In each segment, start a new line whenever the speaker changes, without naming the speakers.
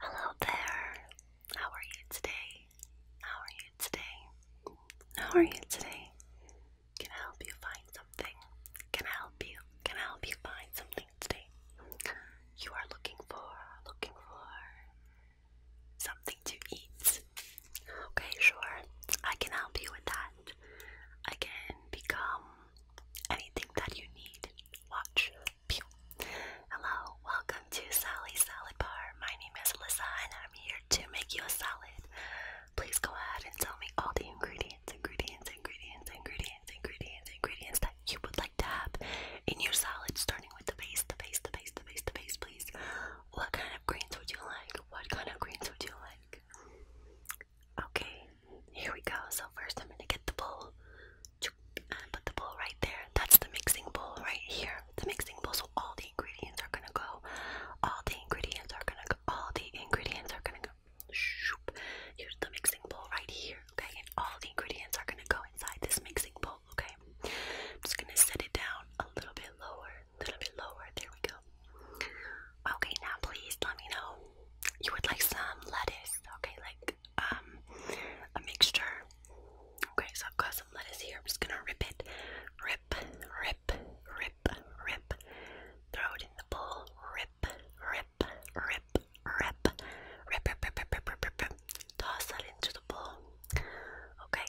Hello there. How are you today? How are you today? How are you today? Can I help you find something? Can I help you? Can I help you find something today? You are looking for, looking for something to eat. Okay, sure. I can help you with that. I can become anything that you need. Watch. Hello, welcome to Sally's Salad Bar. My name is Alyssa and I'm here to make you a salad. Please go ahead and tell me all the ingredients, ingredients, ingredients, ingredients, ingredients, ingredients that you would like to have in your salad, starting with the base, the base, the base, the base, the base, please. What kind of greens would you like? What kind of greens would you like? Okay, here we go. So first I'm gonna get the bowl. And put the bowl right there. That's the mixing bowl right here. The mixing bowl. So all the ingredients are gonna go. All the ingredients are gonna go. All the ingredients are gonna go. Shoop. the mixing bowl right here. Okay, and all the ingredients are gonna go inside this mixing bowl. Okay, I'm just gonna set it down a little bit lower a little bit lower. There we go. Okay, now please let me know you would like some lettuce. Okay, like um a mixture. Okay, so I've got some lettuce here. I'm just gonna rip it, rip, rip, rip, rip. Throw it in the bowl. Rip, rip, rip, rip, rip, rip, rip, rip, rip, rip. rip. Toss that into the bowl. Okay,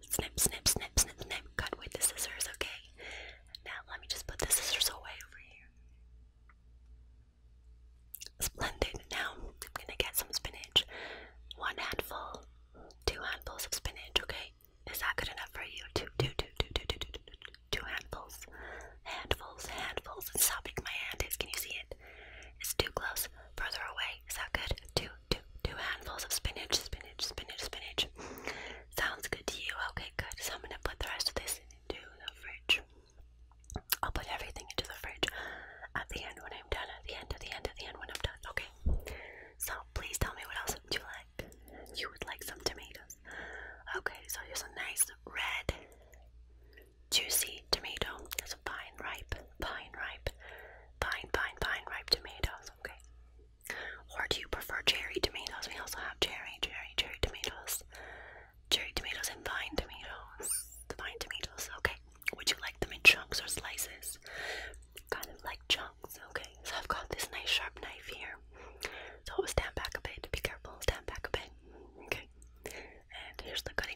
Snip, snip, snip, snip, snip. Cut with the scissors, okay? Now let me just put the scissors away over here. Splendid. Now I'm gonna get some spinach. One handful, two handfuls of spinach, okay? Is that good enough for you? Two, two, two, two, two, two, two, two, two, two handfuls. Handfuls, handfuls. It's stopping my hand is. Can you see it? It's too close. Further away. Is that good? Two two, two handfuls of spinach, spinach, spinach, spinach. Sounds good to you. Okay, good. So I'm gonna put the rest of this into the fridge. I'll put everything into the fridge at the end when I'm done. At the end, of the end, at the end when I'm done. Okay. So please tell me what else would you like. You would like some tomatoes. Okay, so here's a nice red, juicy tomato tomatoes, pine ripe, pine ripe, pine, pine, pine ripe tomatoes, okay? Or do you prefer cherry tomatoes? We also have cherry, cherry, cherry tomatoes, cherry tomatoes, and vine tomatoes. The vine tomatoes, okay? Would you like them in chunks or slices? Kind of like chunks, okay? So I've got this nice sharp knife here. So stand back a bit, be careful, stand back a bit, okay? And here's the cutting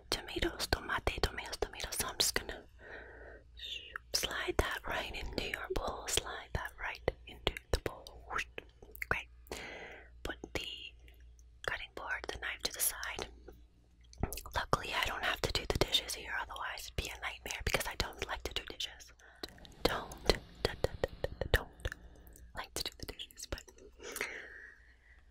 tomatoes, tomate, tomatoes, tomatoes. So I'm just gonna slide that right into your bowl. Slide that right into the bowl. Great. Put the cutting board, the knife to the side. Luckily, I don't have to do the dishes here, otherwise, it'd be a nightmare because I don't like to do dishes. Don't, don't, don't, don't like to do the dishes, but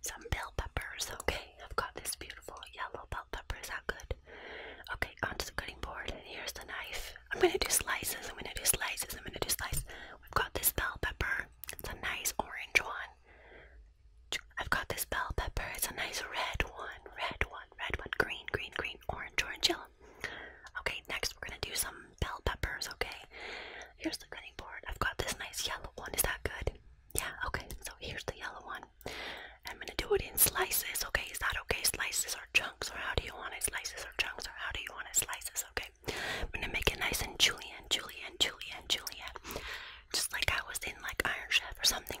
Some bell peppers, okay. I've got this beautiful yellow bell pepper. Is that good? Okay, onto the cutting board, and here's the knife. I'm gonna do slices. I'm gonna do slices. I'm gonna do slices. We've got this bell pepper. It's a nice orange one. I've got this bell pepper. It's a nice red one. Red one. Red one. Green. Green. Green. Orange. Orange. Yellow. Okay, next we're gonna do some bell peppers. Okay, Here's the cutting board. I've got this nice yellow one. Is that good? Yeah, okay. So here's the yellow one. I'm gonna do it in slices, okay? Is that okay? Slices or chunks, or how do you want it? Slices or chunks, or how do you want it? Slices, okay? I'm gonna make it nice and julienne, julienne, julienne, julienne. Just like I was in like Iron Chef or something.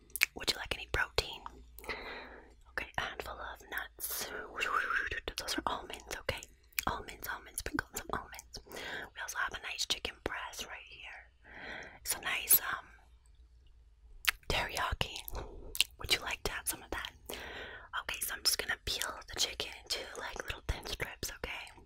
would you like any protein? Okay, a handful of nuts. Those are almonds, okay? Almonds, almonds, sprinkles of almonds. We also have a nice chicken breast right here. It's a nice um teriyaki. Would you like to have some of that? Okay, so I'm just gonna peel the chicken into like little thin strips, okay?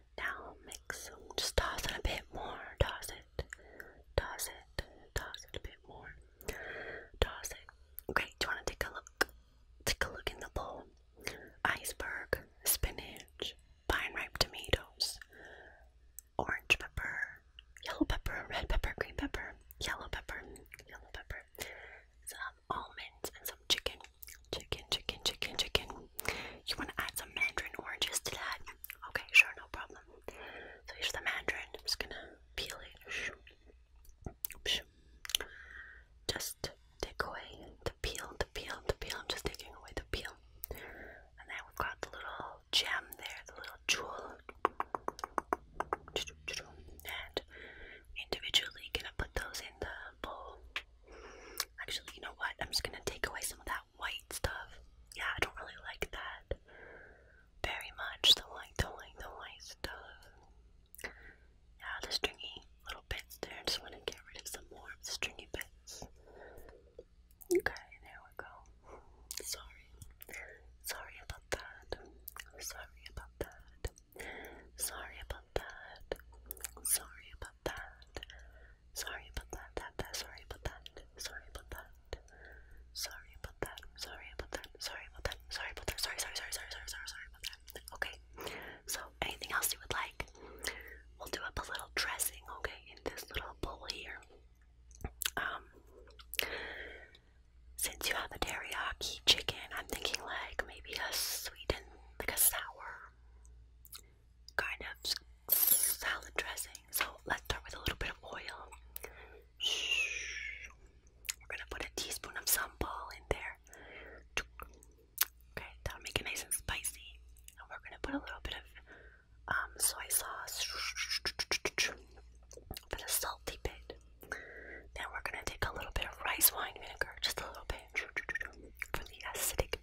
Now mix Just toss it a bit more. Toss it. Toss it. Toss it a bit more. Toss it. Great. Do you want to take a look? Take a look in the bowl. Iceberg, spinach, vine ripe tomatoes, orange pepper, yellow pepper, red pepper, green pepper, yellow pepper, yellow pepper, some almonds, and some chicken. Chicken, chicken, chicken, chicken. You want to add some mandarin oranges to that? Okay, sure, no problem. So here's the mandarin. I'm just gonna peel it. Just take away the peel, the peel, the peel. I'm just taking away the peel. And then we've got the little gem there, the little jewel. And individually, gonna put those in the bowl. Actually, you know what? I'm just gonna take away some of that white stuff. Yeah, I don't really like that very much. The like the like the white stuff. Yeah, the stringy little bits there. I just want to get rid of some more stringy bits. Okay, there we go. Sorry. Sorry about that. Sorry about that. Sorry about that. Sorry about about that. Sorry about that. That that. Sorry about that. Sorry about that. Sorry about that. Sorry about that. Sorry about that. Sorry about that. Sorry. Sorry. Sorry. Sorry. Sorry. Sorry. Sorry about that. Okay. So anything else you would like? We'll do up a little dressing. Okay, in this little bowl here. Um. Since you have a teriyaki chicken, I'm thinking like maybe a sweet and like a sour kind of salad dressing. So let's start with a little bit of oil. We're gonna put a teaspoon of sambal in there. Okay, that'll make it nice and spicy. And we're gonna put a little bit of um, soy sauce for the salty bit. Then we're gonna take a little bit of rice wine vinegar, just a little bit for the acidic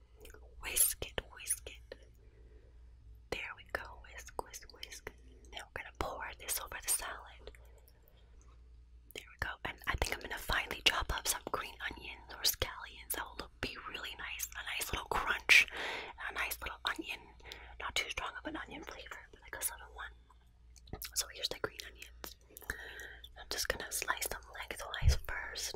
Whisk it, whisk it. There we go. Whisk, whisk, whisk. Now we're gonna pour this over the salad. There we go. And I think I'm gonna finally chop up some green onions or scallions. That will look be really nice. A nice little crunch. A nice little onion. Not too strong of an onion flavor, but like a subtle one. So here's the green onions. I'm just gonna slice them lengthwise first.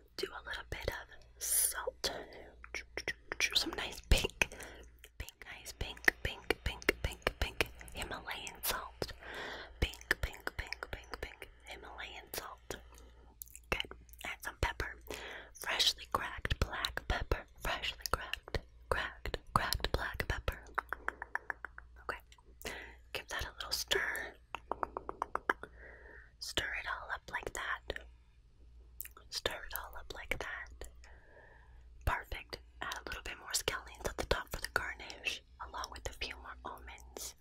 do a little bit of salt. Some nice pink, pink, nice pink, pink, pink, pink, pink Himalayan salt. Pink, pink, pink, pink, pink Himalayan salt. Good. Add some pepper. Freshly cracked black pepper. Freshly cracked, cracked, cracked black pepper. Okay. Give that a little stir. Stir it all up like that. Stir it all up like that. Perfect. Add a little bit more scallions at the top for the garnish, along with a few more almonds.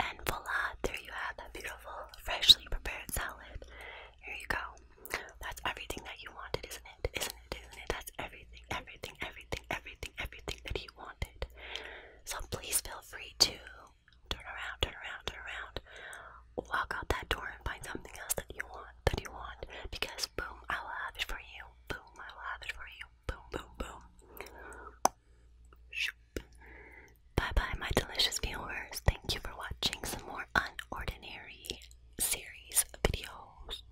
And voila, there you have that beautiful, freshly prepared salad. Here you go. That's everything that you wanted, isn't it? Isn't it? Isn't it? That's everything, everything, everything, everything, everything that you wanted. So please feel free to turn around, turn around, turn around, walk out that door and find something else that you want, that you want, because boom, I will have it for you, boom, I will have it for you, boom, boom, boom. Bye-bye, my delicious viewers. Thank you for watching some more unordinary series videos.